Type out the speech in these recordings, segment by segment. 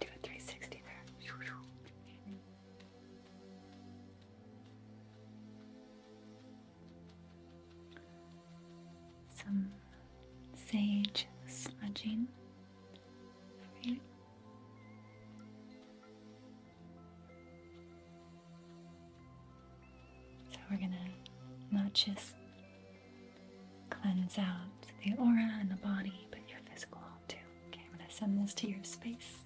do a 360 there. Some sage smudging So we're gonna not just cleanse out the aura and the body, but your physical too. Okay, I'm gonna send this to your space.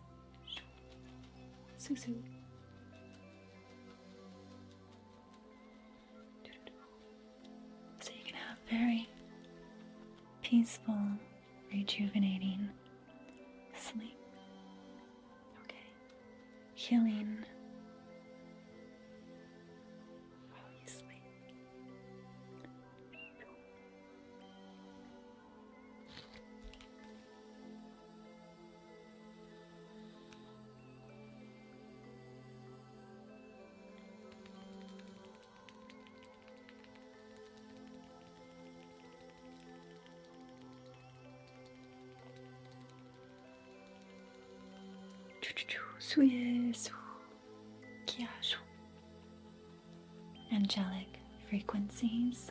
Susu. So you can have very peaceful, rejuvenating sleep. Okay, healing while you sleep. Good Angelic frequencies.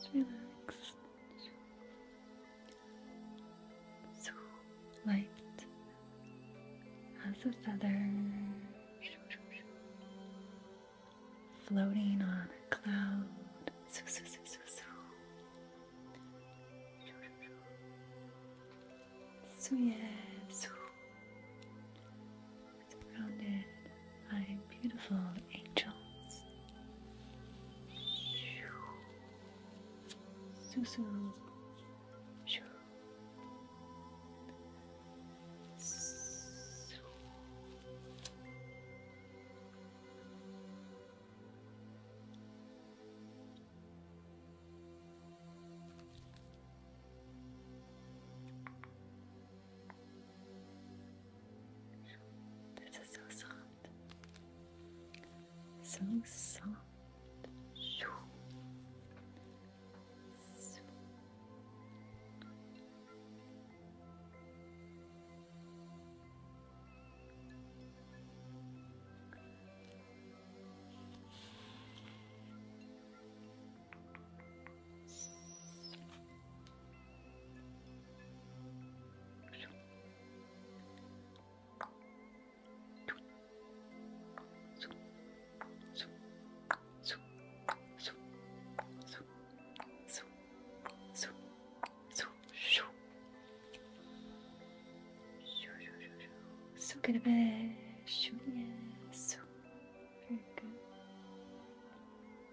Just relaxed, so light as a feather, floating on a cloud. So, so, so, so, so. So yeah, so surrounded by beautiful angels. Susu. Soo. This is so soft. So soft. So. So good of it. Shoo, yeah. very good.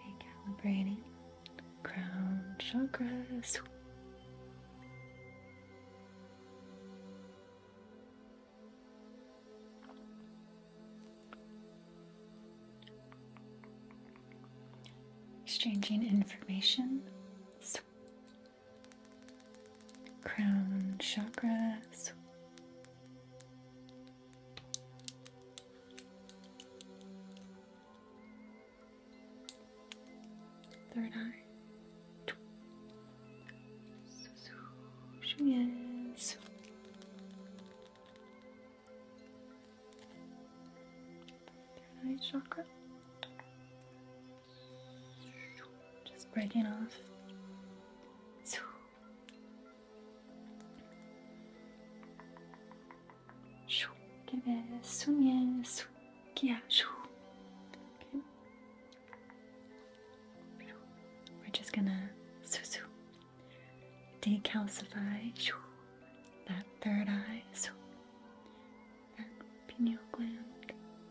Recalibrating crown chakras. Exchanging information crown chakras. Third eye. Yes. Third eye chakra. Just breaking off. Okay. We're just gonna decalcify that third eye, that pineal gland.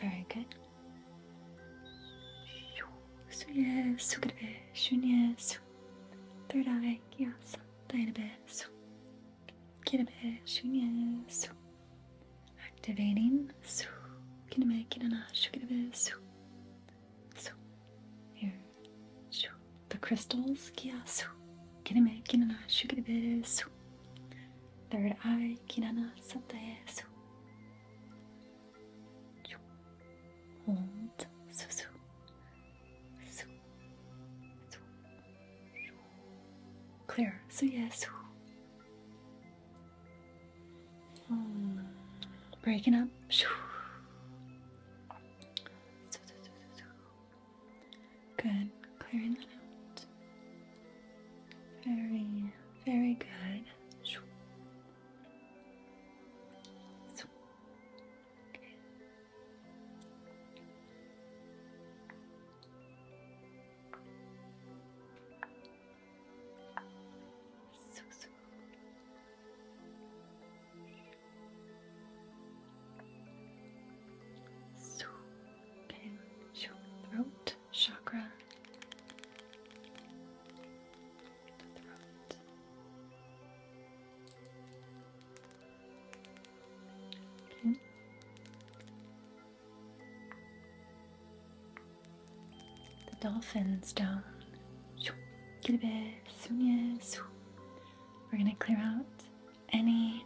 Very good. Su gresu, Third eye, yes. Database. Kitabe Activating. Su kiname kinana shukitabe su. Su here. The crystals. Kineme, kinana, shukidebe, Third eye. Kinana, satae, su. Hold. Su, su. Su. Su. Clear. Su, yes. Hmm. Breaking up. Breaking up. Good, clearing that out. Very, very good. so. So, okay, your throat chakra. The throat. Okay. The dolphins we're going to clear out any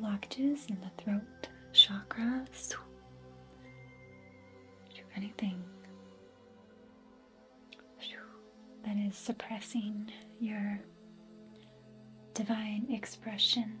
blockages in the throat chakras, Anything that is suppressing your divine expression.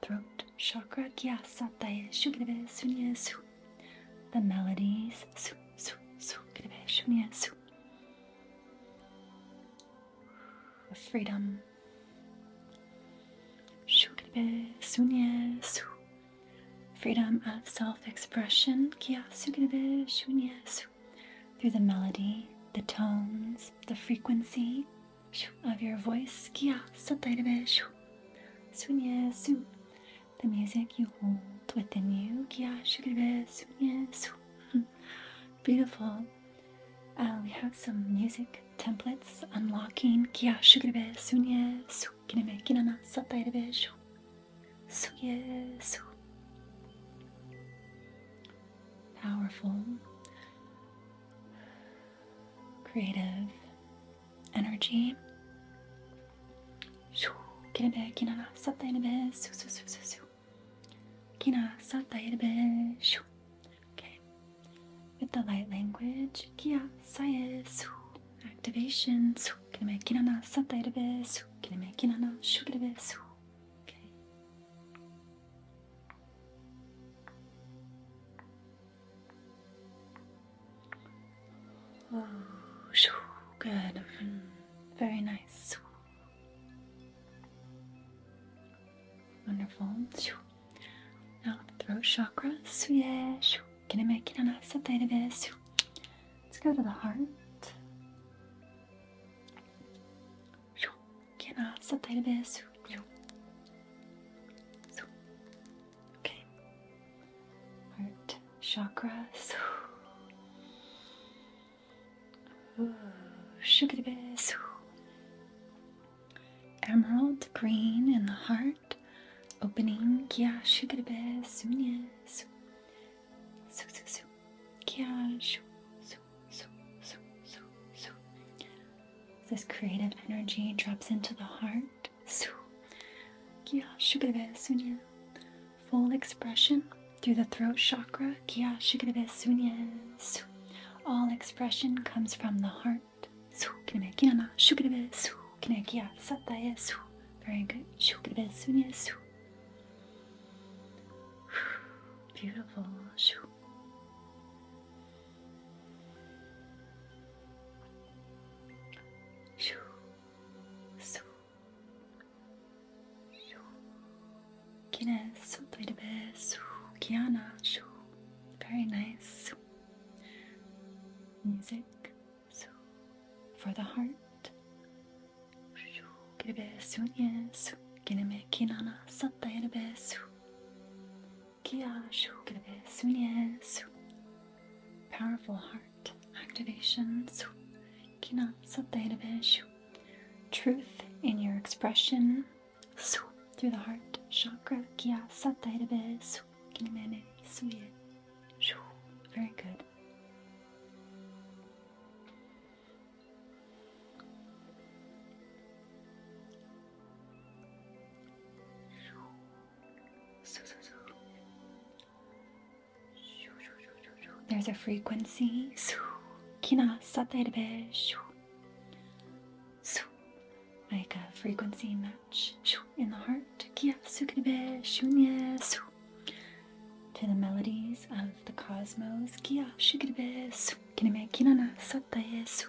throat chakra kya satae shugnebe sunye su. The melodies su su su gnebe shunye su. freedom. Shugnebe sunye su. Freedom of self-expression kya sugnebe shunye su. Through the melody, the tones, the frequency, of your voice. Kia sotairebe. Sunye su. The music you hold within you. Kia shigirebe. Sunye Beautiful. Uh, we have some music templates unlocking. Kia shigirebe. Sunye su. Kineme kinana Powerful. Creative energy. Kinabe, kinara, satta inabe, su su su su su. Kina, satta inabe, shu. Okay. With the light language, kia, saye, Activation, su. Kinabe, kinana, satta inabe, su. Kinabe, kinana, Okay. Oh, good. Very nice. Wonderful. Now the throat chakra. Can I make it a nice Let's go to the heart. Can I Okay. Heart chakra. Ooh, sugar Emerald green in the heart. Opening kya shugaribe sunye su su su su kya shu su su su This creative energy drops into the heart su Kya shugurebe sunyen Full expression through the throat chakra Kya shugurebe sunyen su All expression comes from the heart Su kineme kinama shugurebe su Kine kya satae su Very good shugurebe sunyen su Beautiful. Shoo. Shoo. Shoo. Guinness, played a bit. Shoo. Kiana, Very nice. Music, shoo. For the heart. Shoo. Get a bit. Soon, yes. Kinana, Kia Shukrivesunies. Powerful heart activation. Kina Satayaveshu. Truth in your expression. Through the heart chakra. Kia Satayavasu. Kinimene Suye. Very good. There's a frequency. Kina saterebe. Like a frequency match in the heart. Kia sukinebe shunye to the melodies of the cosmos. Kia shukirebe su kineme kinana sataye su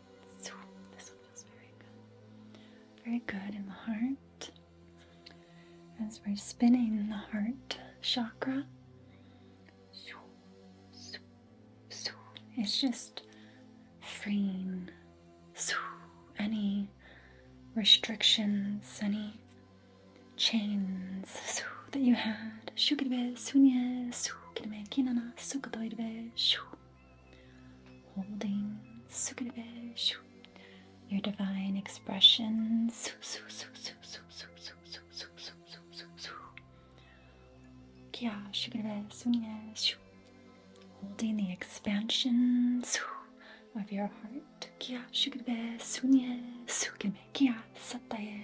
very good. Very good in the heart. As we're spinning the heart chakra, it's just freeing any restrictions, any chains that you had. Sukirime na sukudoirebe shu. Holding sukirebe shu. Your divine expression su su su su Holding the expansion of your heart. Kia sukirebe sunye sukirebe kia sataye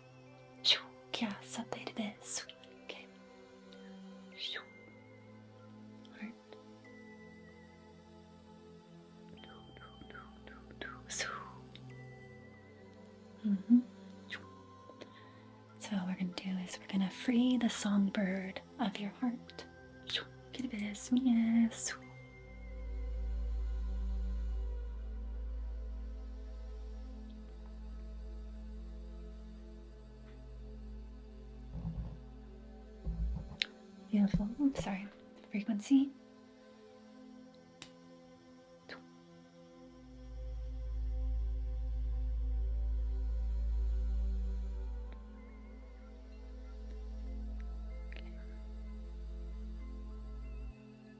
Yeah, it's a bit, sweet. Alright. No, So. -hmm. So what we're gonna do is we're gonna free the songbird of your heart. Get a bit of Beautiful. I'm sorry. Frequency.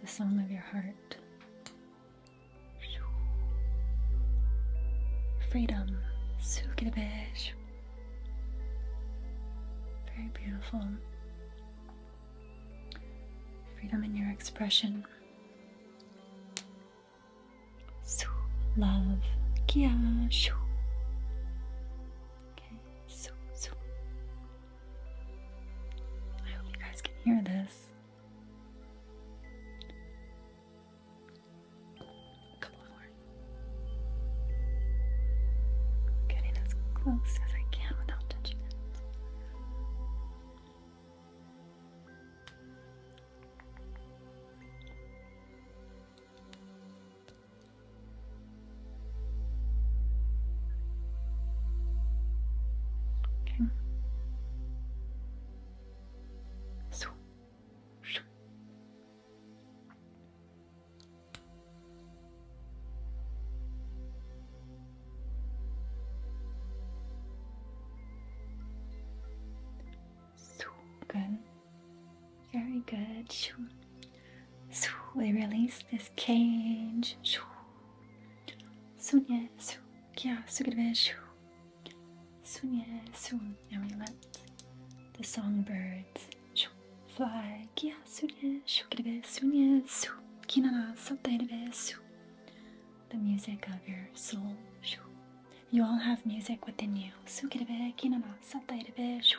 the song of your heart. Freedom. Very beautiful. Freedom in your expression. Love. Kia. Okay. I hope you guys can hear this. A couple more. Getting as close as I can without touching it. Okay. So. Sugen. Very good. So we release this cage. Sunye su kya sugirve shu. Sunye su. Now we let the songbirds fly. Kya sunye shukirve sunye su. Kinara sattairve su. The music of your soul. You all have music within you. Sugirve kinara sattairve shu.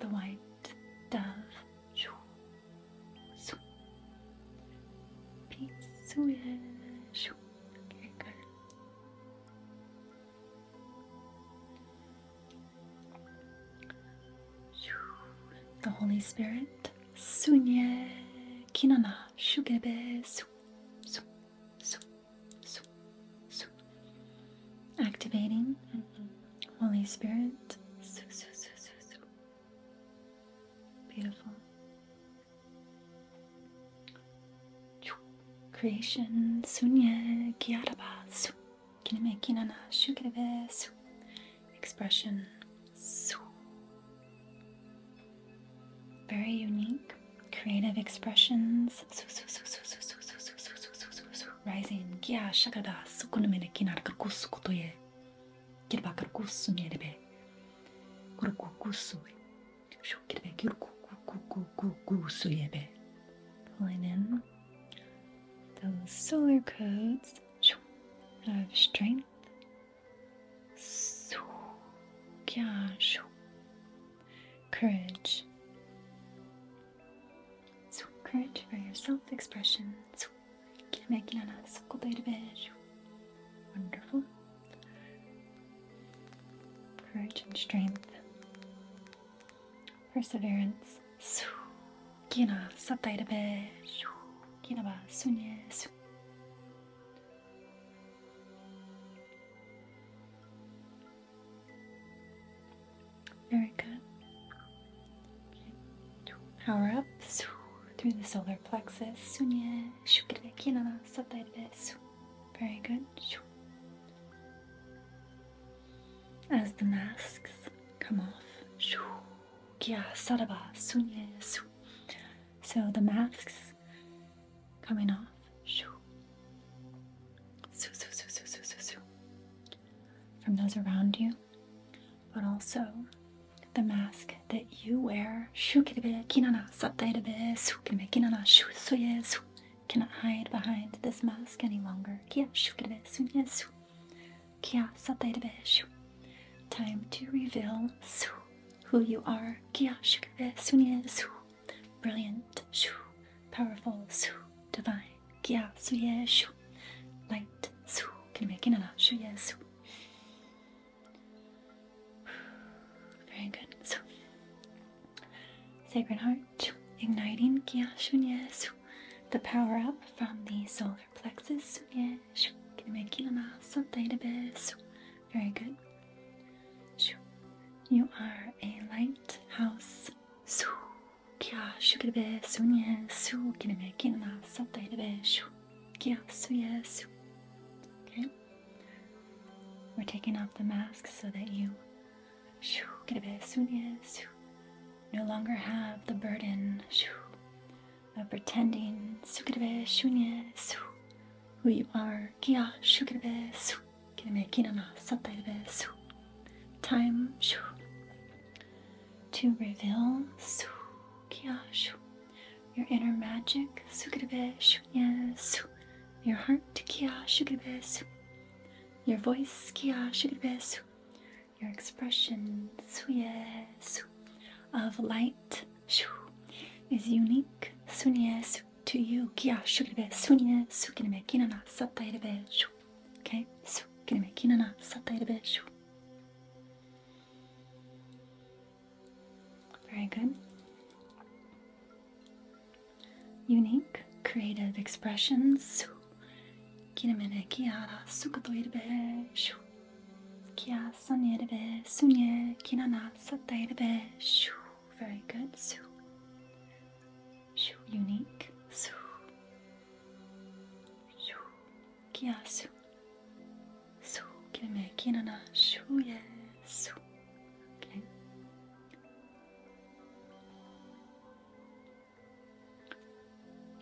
the white dove. Peace with okay, good. The Holy Spirit, Sunye Kinana Shugebe Su Su Su. Activating Holy Spirit. Beautiful. Creation. Sunya Sunye Kiaraba. Kinemekinana Shukreve. Expression. Very unique creative expressions hands. Rising gya shakada sukunumene kinar karkusu kutoye. Kirba karkusu nyerebe. Kurku kusu. Shukirbe kirku kukukukukusu yebe. Pulling in those solar codes of strength. Courage courage for your self-expression. Wonderful. Courage and strength. Perseverance. Very good. Power up through the solar plexus. Very good. As the masks come off. So the masks coming off. Soo, soo, soo, soo, soo, soo, From those around you, but also the mask that you wear. Shu kirebe kinana sattairebe su kirebe kinana shu Cannot hide behind this mask any longer. Kia shu kirebe sunye Kia sattairebe shu. Time to reveal su who you are. Kia shu kirebe sunye su. Brilliant shu. Powerful su. Divine. Kia suye shu. Light su. Can you make it? Shuye su. Very good. So, Sacred Heart, igniting Kia su su. The power up from the solar plexus. Suye shu. Can you make it? su. Very good. Shu. You are a light house. Su. 기아슈 그리베 쏜 예수 기름에 기나 썼다 이르베 슈 기아수 예수 Okay We're taking off the masks so that you 슈 그리베 쏜 예수 no longer have the burden 슈 of pretending 수 그리베 쏜 예수 who you are 기아슈 그리베 수 이렇게 기나나 sataybe su. Time shu. To reveal su kia shu. Your inner magic sukirebe shu su. Your heart kia shukirebe su. Your voice kia shukirebe su. Your expression suye su. Of light shu is unique sunye su to you kia shukirebe sunye sukinebe kinana sataybe shu. Okay, gonna make you na satay a bit. Very good. Unique, creative expressions. Kinemene kiara sukadoirbe shu. Kia sonirbe sunye Very good. Shoo, unique. Su. Shoo. Kia su. Su. Give me a ye. Su. Okay.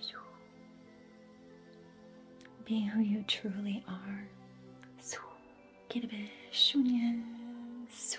Shoo. Be who you truly are. Su. a Shunye. Su.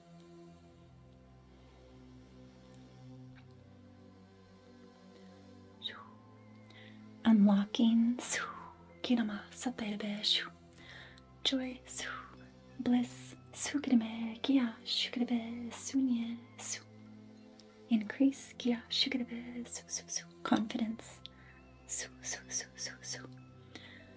Unlocking, kinama, saterebe, joy, bliss, sukrime, kia, shukrebe, sunye, su. Increase, kia, shukrebe, su, su, su. Confidence, su, su, su, su.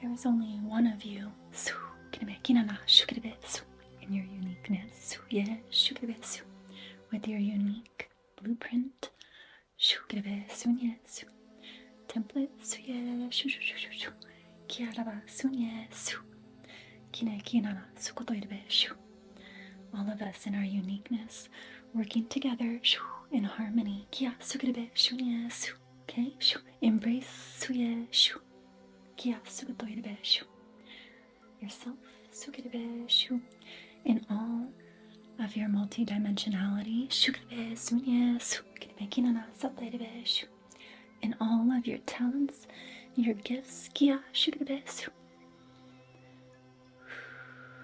There is only one of you in your uniqueness, with your unique blueprint, template, all of us in our uniqueness working together in harmony. Okay? Embrace yourself in all of your multidimensionality, in all of your talents, your gifts.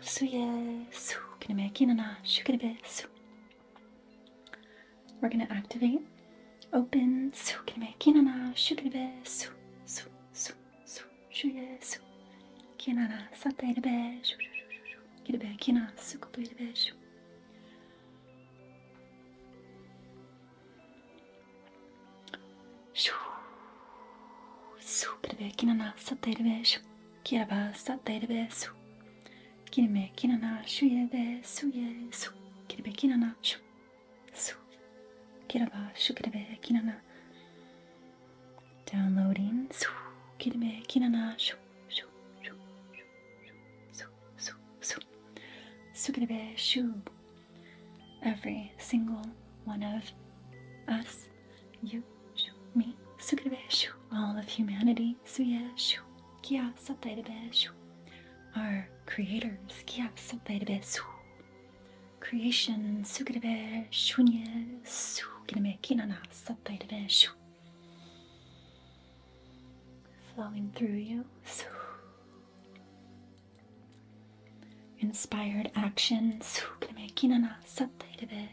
Suyesu, can I make in an ash? We're going to activate. Open. Sukiname kinana shukinebe su su su su shuye su kinana satairebe shu shu shu shu kirebe kina sukupirebe shu. Su kirebe kinana satairebe shu. Kirabasa desu. Kinime kinana shuye desu yesu. Kiribe kinana shu. Su. Kiraba shukiribe kinana. Downloading. Su. Kiribe kinana shu. Shu. Shu. Shu. Su. Su. Su. Sukiribe shu. Every single one of us you, shu, me, sukadabeshu, all of humanity, suyeshu, kia sataidabeshu, our creators, kia sataidabeshu, creation, sukadabe, flowing through you, Inspired actions. sukiname, kinana, sataidabeshu.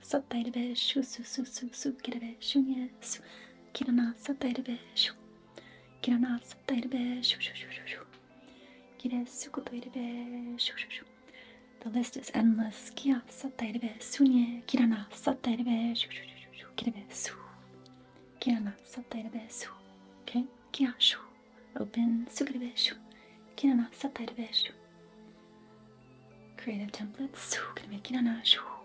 satay de beijo, su su su su, quero beijo, yes, quero na satay de beijo, quero na satay de beijo, quero suco de beijo, the list is endless, kia satay de beijo, quero na satay de beijo, quero beijo, quero na satay de beijo, okay, kia shu, open, suco de beijo, quero na satay de beijo. Creative templates, so gonna make it on a show.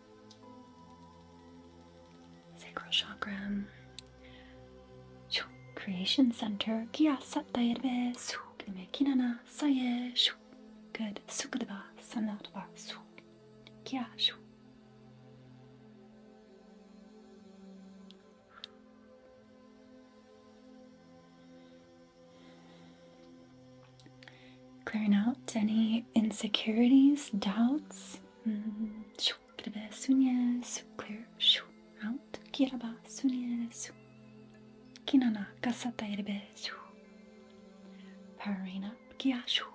sacral chakra, creation center, kia sattayerbe, suk good, sukadaba, sanataba, suk, kia Clearing out any insecurities, doubts, شو كربا سونياس كلير شو out كربا سونياس كينانا كاساتا يربا شو Parina Kiashu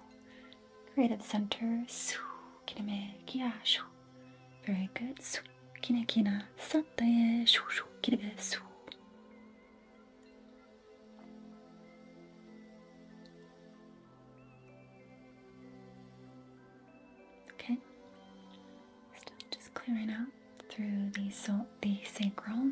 Creative Center Su Kineme Kiashu Very good Su Kinekina Sataye Shushu Kiribe Su Okay. Still just clearing out through the so the sacral.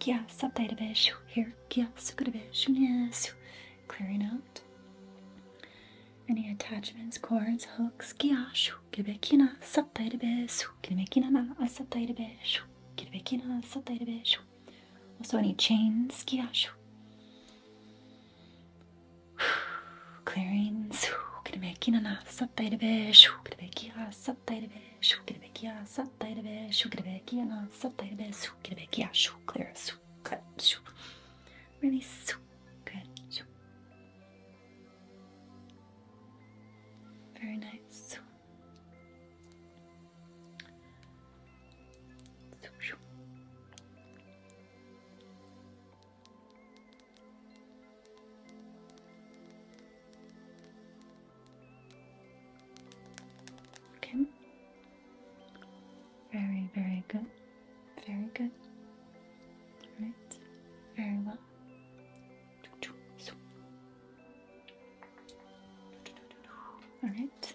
Kia saptaidabeshu here. Kia sukadabeshu nesu. Clearing out any attachments, cords, hooks. Kia shu kibekina saptaidabesu. Kibekina na asaptaidabeshu. Kibekina saptaidabeshu. Also any chains. Kia shu. Clearing. Kibekina na saptaidabeshu. Kibekia saptaidabeshu. كربك يا سطيربك شو كربك يا ناس سطيربك سو كربك يا شو clear سو cut شو really سو good شو very nice سو شو Okay. Very, very good. Very good. Alright. Very well. Alright.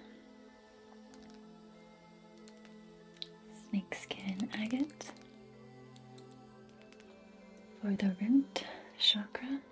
Snakeskin agate for the root chakra.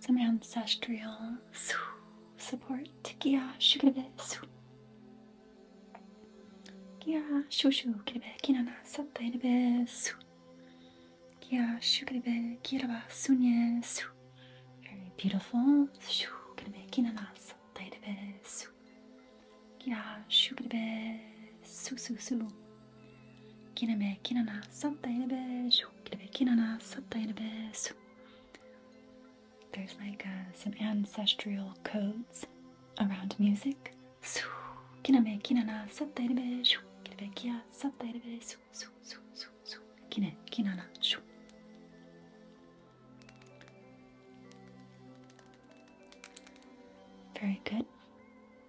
Some ancestral support. Kia shukirebe su. Kia shushu kirebe kinana sattairebe su. Kia shukirebe kiraba sunye su. Very beautiful. Shukirebe kinana sattairebe su. Kina shukibe su su su. Kiname kinana santainabe shukibe kinana santainabe There's like uh, some ancestral codes around music. Su kiname kinana santainabe shukibe kia santainabe su su su su su. Kine kinana shu. Very good.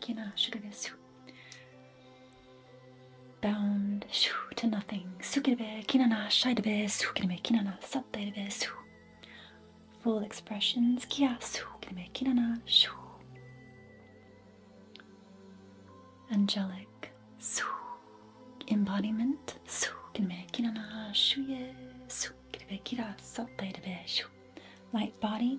Kina shukirbe su. Bound shu to nothing. Sukirbe kinana shaidabe sukirbe kinana satdabe su. Full expressions kia sukirbe kinana shu. Angelic su. Embodiment sukirbe kinana shuye sukirbe kira satdabe shu. Light body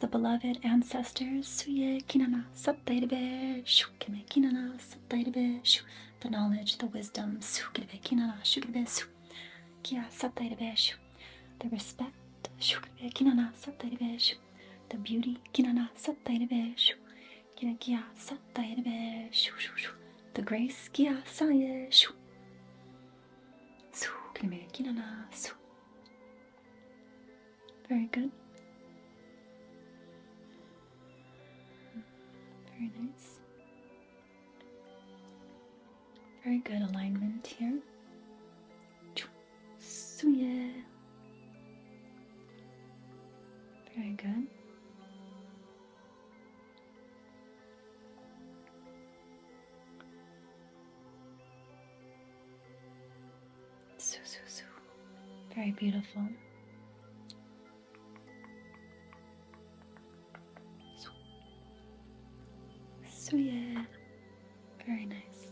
the beloved ancestors, Suye Kinana Sattairebe Shukime Kinana Sattairebe Shu, the knowledge, the wisdom, Sukirebe Kinana Shukirebe Su, Kia Sattairebe Shu, the respect, Shukirebe Kinana Sattairebe Shu, the beauty, Kinana Sattairebe Kia Kina Kia Sattairebe Shu, the grace, Kia Saye Shu, Sukirebe Kinana Su. Very good. Very nice. Very good alignment here. Very good. So, so, so. Very beautiful. So, yeah. Very nice.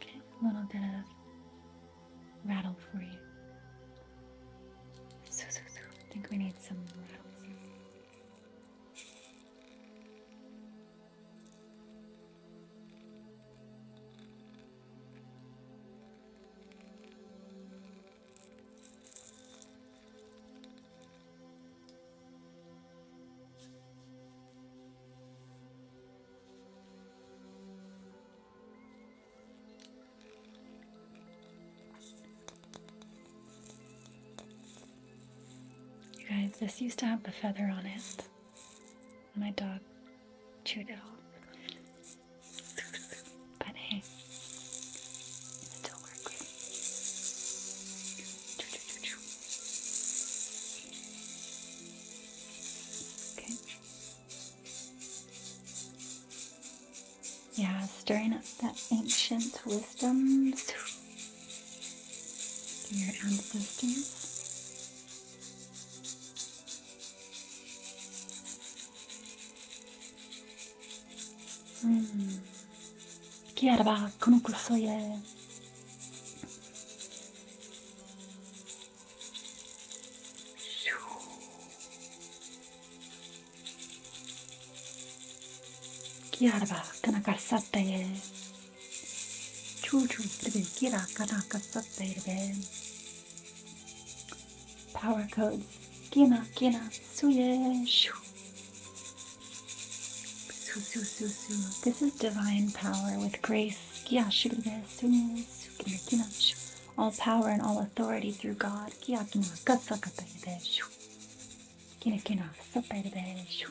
Okay, a little bit of rattle for you. So, so, so. I think we need some rattle. You guys, this used to have a feather on it. My dog chewed it all. But hey, it'll work. Okay. Yeah, stirring up that ancient wisdom to your ancestors. Mm. Kierba konukusuje. Kierba kanakarsataje. Choo-choo, baby. Kira, kanaka, baby. Power codes. Kina, kina, suye, shoo. Su, su, su, su. This is divine power with grace. Kia, shugube, su, su, kina, shoo. All power and all authority through God. Kia, kina, katsa, katayebe, shoo. Kina, kina, sopa, shoo.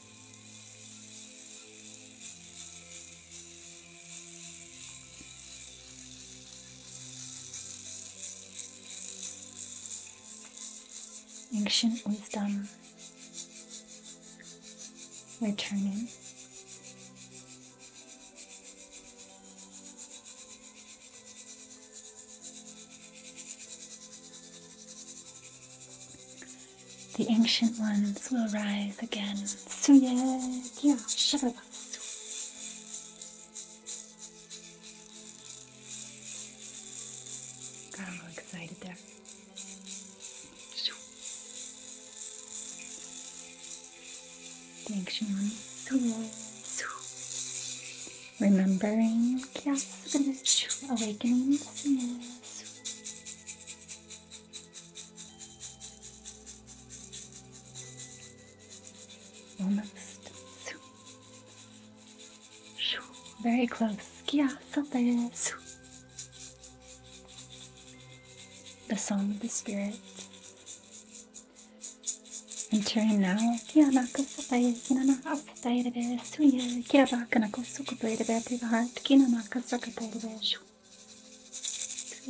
ancient wisdom returning. The ancient ones will rise again. Got all excited there. The ancient ones. Remembering awakening. Almost. Su. Shoo. Very close. Kia sote. Su. The song of the spirit. Entering now. Kia nako sote. Nana asote rebe. Suye. Kia baka nako sukupe rebe. To the heart. Kina naka sukupe rebe. Shoo. Swish.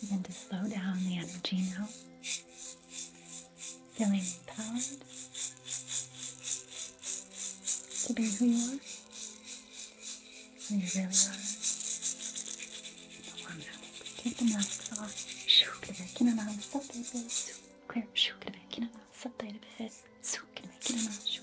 And then to slow down the energy now feeling empowered to be who you are, who you really are. Kendimden sağa şöyle kenara satayım. Koyup şöyle kenara satayım. Sokayım kenara şu.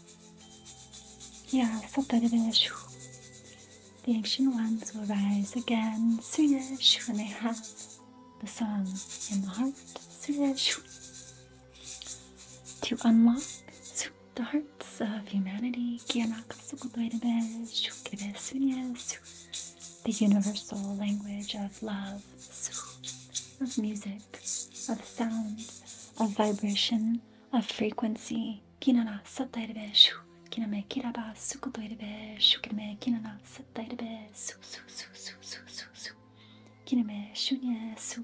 Yasatarveshu. The ancient ones will rise again, soonish, when they have the song in the heart, Suresh. To unlock the hearts of humanity, the universal language of love, of music, of sound, of vibration, a frequency. Kinana satairebesu. Kiname kiraba sukutoirebesu. Kiname kinana satairebesu. Su su su su su su. Kiname su.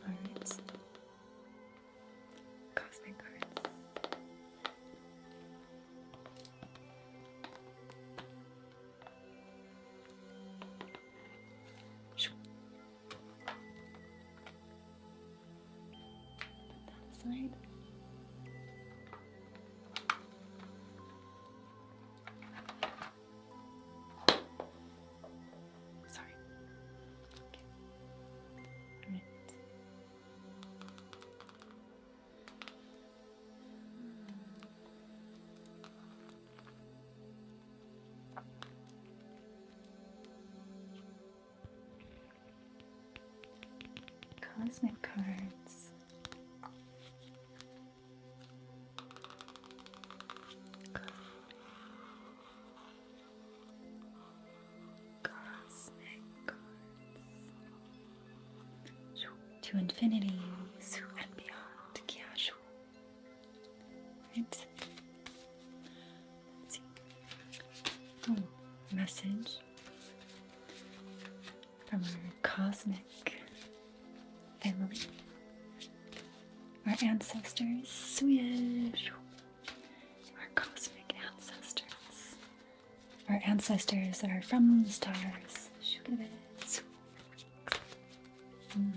Alright. Cosmic cards. That side. Sorry. Okay. Cosmic cards to infinity and beyond. Casual. Right? Oh, message from our cosmic family, our ancestors, our cosmic ancestors. Our ancestors are from the stars. Hmm.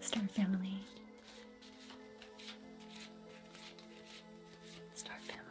Star family. Star family.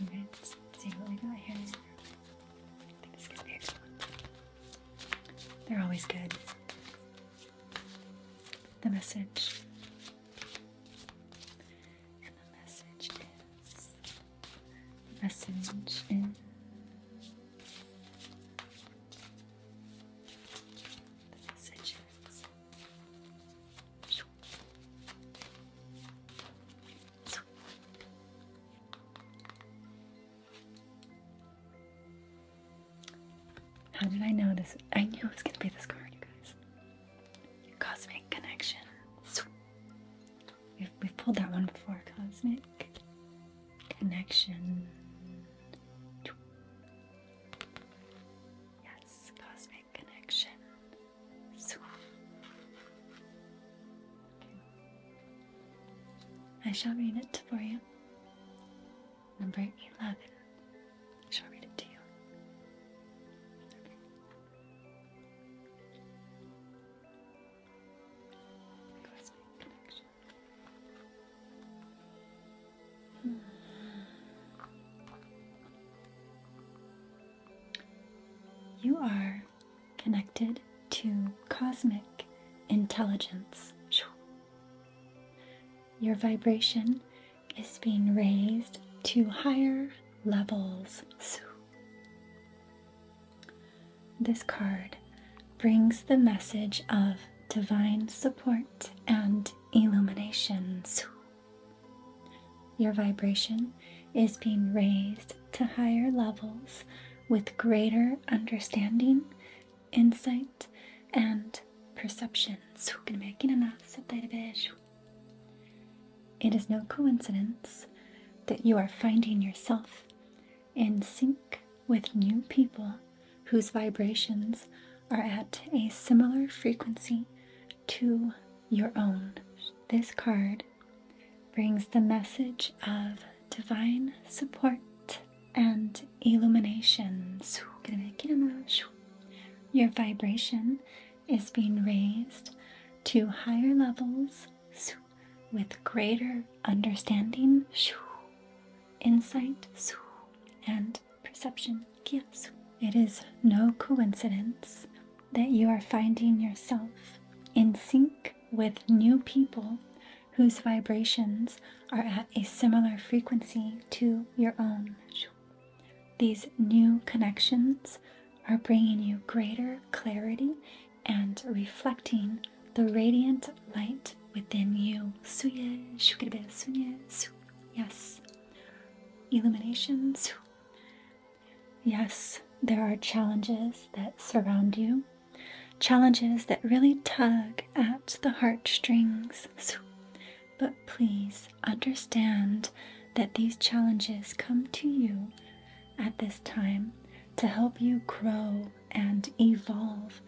let's see what we got here. I think this is the excellent. They're always good. The message. the message is. message is. The message is. How did I know this? I knew it was gonna be this card, you guys. Cosmic Connection. We've, we've pulled that one before. Cosmic Connection. Yes, Cosmic I shall read it for you. Number 11. I shall read it to you. You are connected to cosmic intelligence. Your vibration is being raised to higher levels. This card brings the message of divine support and illuminations. Your vibration is being raised to higher levels with greater understanding, insight, and perceptions. It is no coincidence that you are finding yourself in sync with new people whose vibrations are at a similar frequency to your own. This card brings the message of divine support and illumination. Your vibration is being raised to higher levels with greater understanding, insight, and perception. gifts. It is no coincidence that you are finding yourself in sync with new people whose vibrations are at a similar frequency to your own. These new connections are bringing you greater clarity and reflecting the radiant light within you. Yes, illuminations Yes, there are challenges that surround you, challenges that really tug at the heartstrings. But please understand that these challenges come to you at this time to help you grow and evolve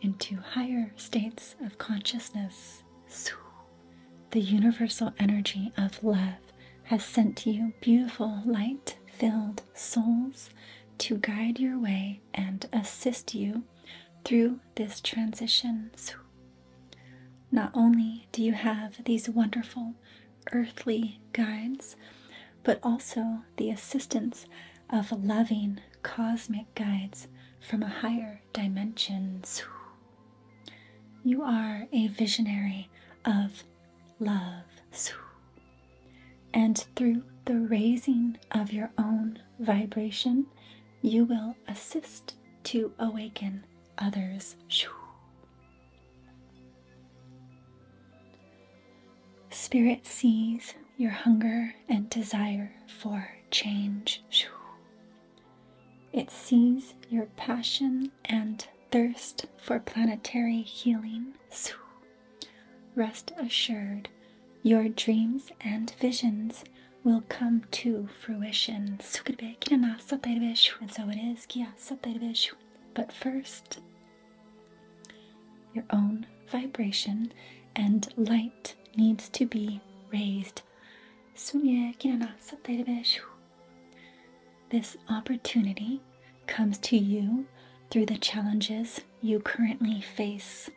into higher states of consciousness. The universal energy of love has sent you beautiful, light filled souls to guide your way and assist you through this transition. Not only do you have these wonderful earthly guides, but also the assistance of loving cosmic guides from a higher dimension. You are a visionary of love. And through the raising of your own vibration, you will assist to awaken others. Spirit sees your hunger and desire for change it sees your passion and thirst for planetary healing. Rest assured, your dreams and visions will come to fruition. And so it is. But first, your own vibration and light needs to be raised. This opportunity comes to you through the challenges you currently face.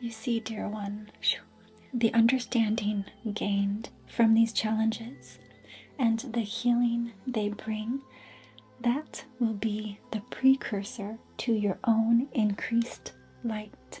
You see, dear one, the understanding gained from these challenges and the healing they bring, that will be the precursor to your own increased light.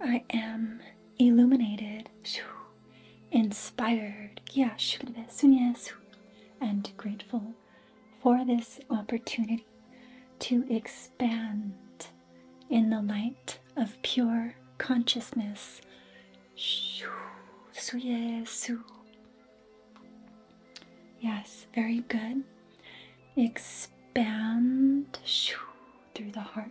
I am illuminated, inspired, and grateful for this opportunity to expand in the light of pure consciousness. Yes, very good. Expand through the heart.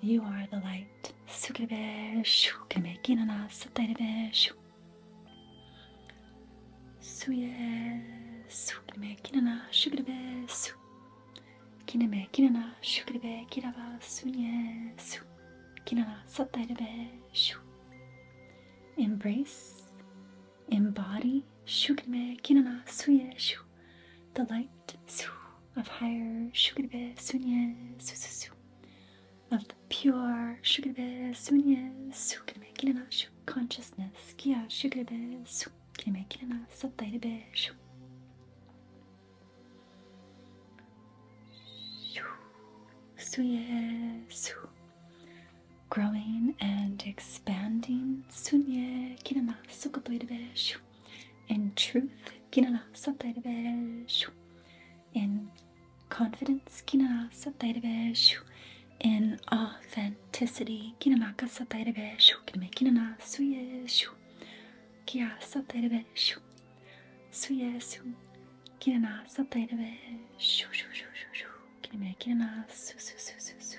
You are the light. Sukirebe, shukirebe, kinana, satarebe, shuk. Suye, sukirebe, kinana, shukirebe, su. Kineme, kinana, shukirebe, kiraba, sunye, su. Kinana, satarebe, shuk. Embrace embody shugme kinana suye the light of higher shugbe sunye su of the pure shugbe sunye su kinana shu consciousness kia shugbe su kiname growing and expanding. Sunye kinala sukapoidabeshu. In truth, kinala sataidabeshu. In confidence, kinala sataidabeshu. In authenticity, kinamaka sataidabeshu. Kiname kinana suyeshu. Kia sataidabeshu. Suyesu. Kinana sataidabeshu. Shu shu shu shu shu. Kiname kinana su su su su su.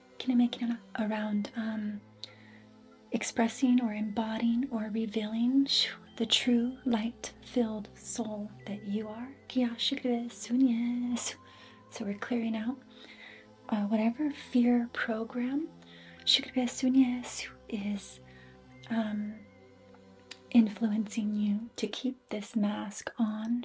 Can I make it around um, expressing or embodying or revealing the true light-filled soul that you are. So we're clearing out uh, whatever fear program is um, influencing you to keep this mask on.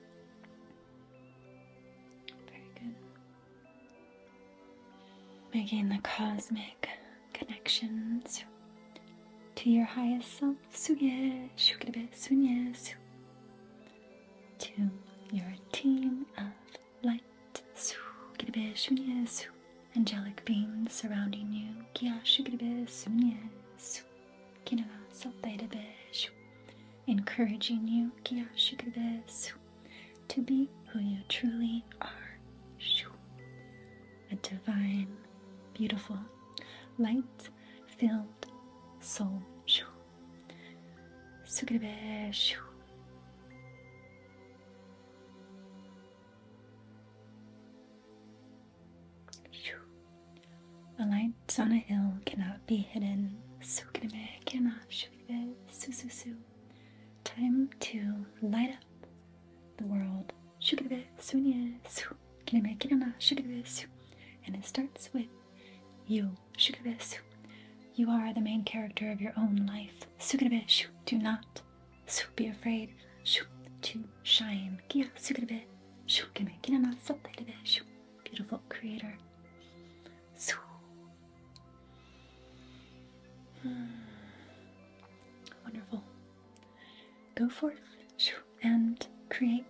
Very good. Making the cosmic connections to your highest self, to your team of light, angelic beings surrounding you, que na salteira beijo, encouraging you to be who you truly are. A divine, beautiful, light filled soul. A light on a hill cannot be hidden. Sukiname cannot shukibe sususu. Time to light up the world. Shukibe sunye su. Kiname kinana shukibe su. And it starts with you. Shukibe You are the main character of your own life. Sukiname shu. Do not su. Be afraid. Shu. To shine give me, シュッケメキナナソテルでシュッ beautiful creator. So wonderful. Go forth and create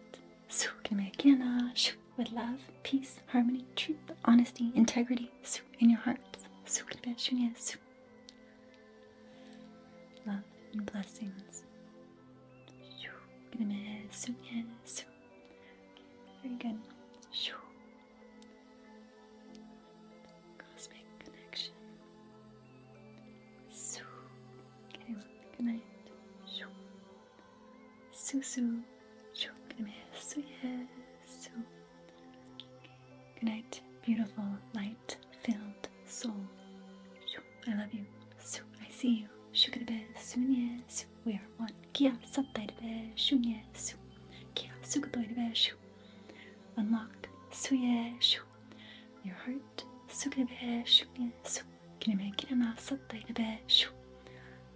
give me, with love, peace, harmony, truth, honesty, integrity in your hearts. Love and blessings. Gonna miss you, yes. Very good. Cosmic connection. okay, good night. Susu. Gonna miss you, yes. Good night, beautiful light filled soul. I love you. I see you. Shukadabe, sunye, su, we are one. Kia sattaitabe, shunye, su. Kia sukatoitabe, shu. Unlocked, suye, shu. Your heart, sukadabe, shunye, su. Kineme, kinema, sattaitabe, shu.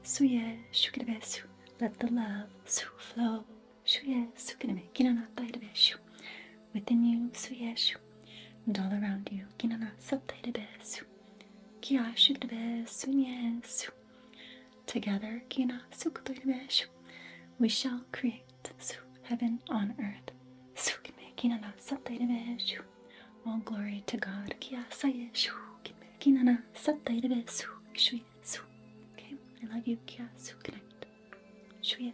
Suye, shukadabe, su. Let the love, su, flow. Shuye, sukineme, kinana, taitabe, shu. Within you, suye, shu and all around you. Que na nossa de beijo, que acho de beijo nisso. Together, que na de beijo, we shall create heaven on earth. Que na nossa de beijo, all glory to God. Que asa yeshu, que na nossa de beijo, shuyesu. Okay, I love you. Que asu, connect. Shuyesu.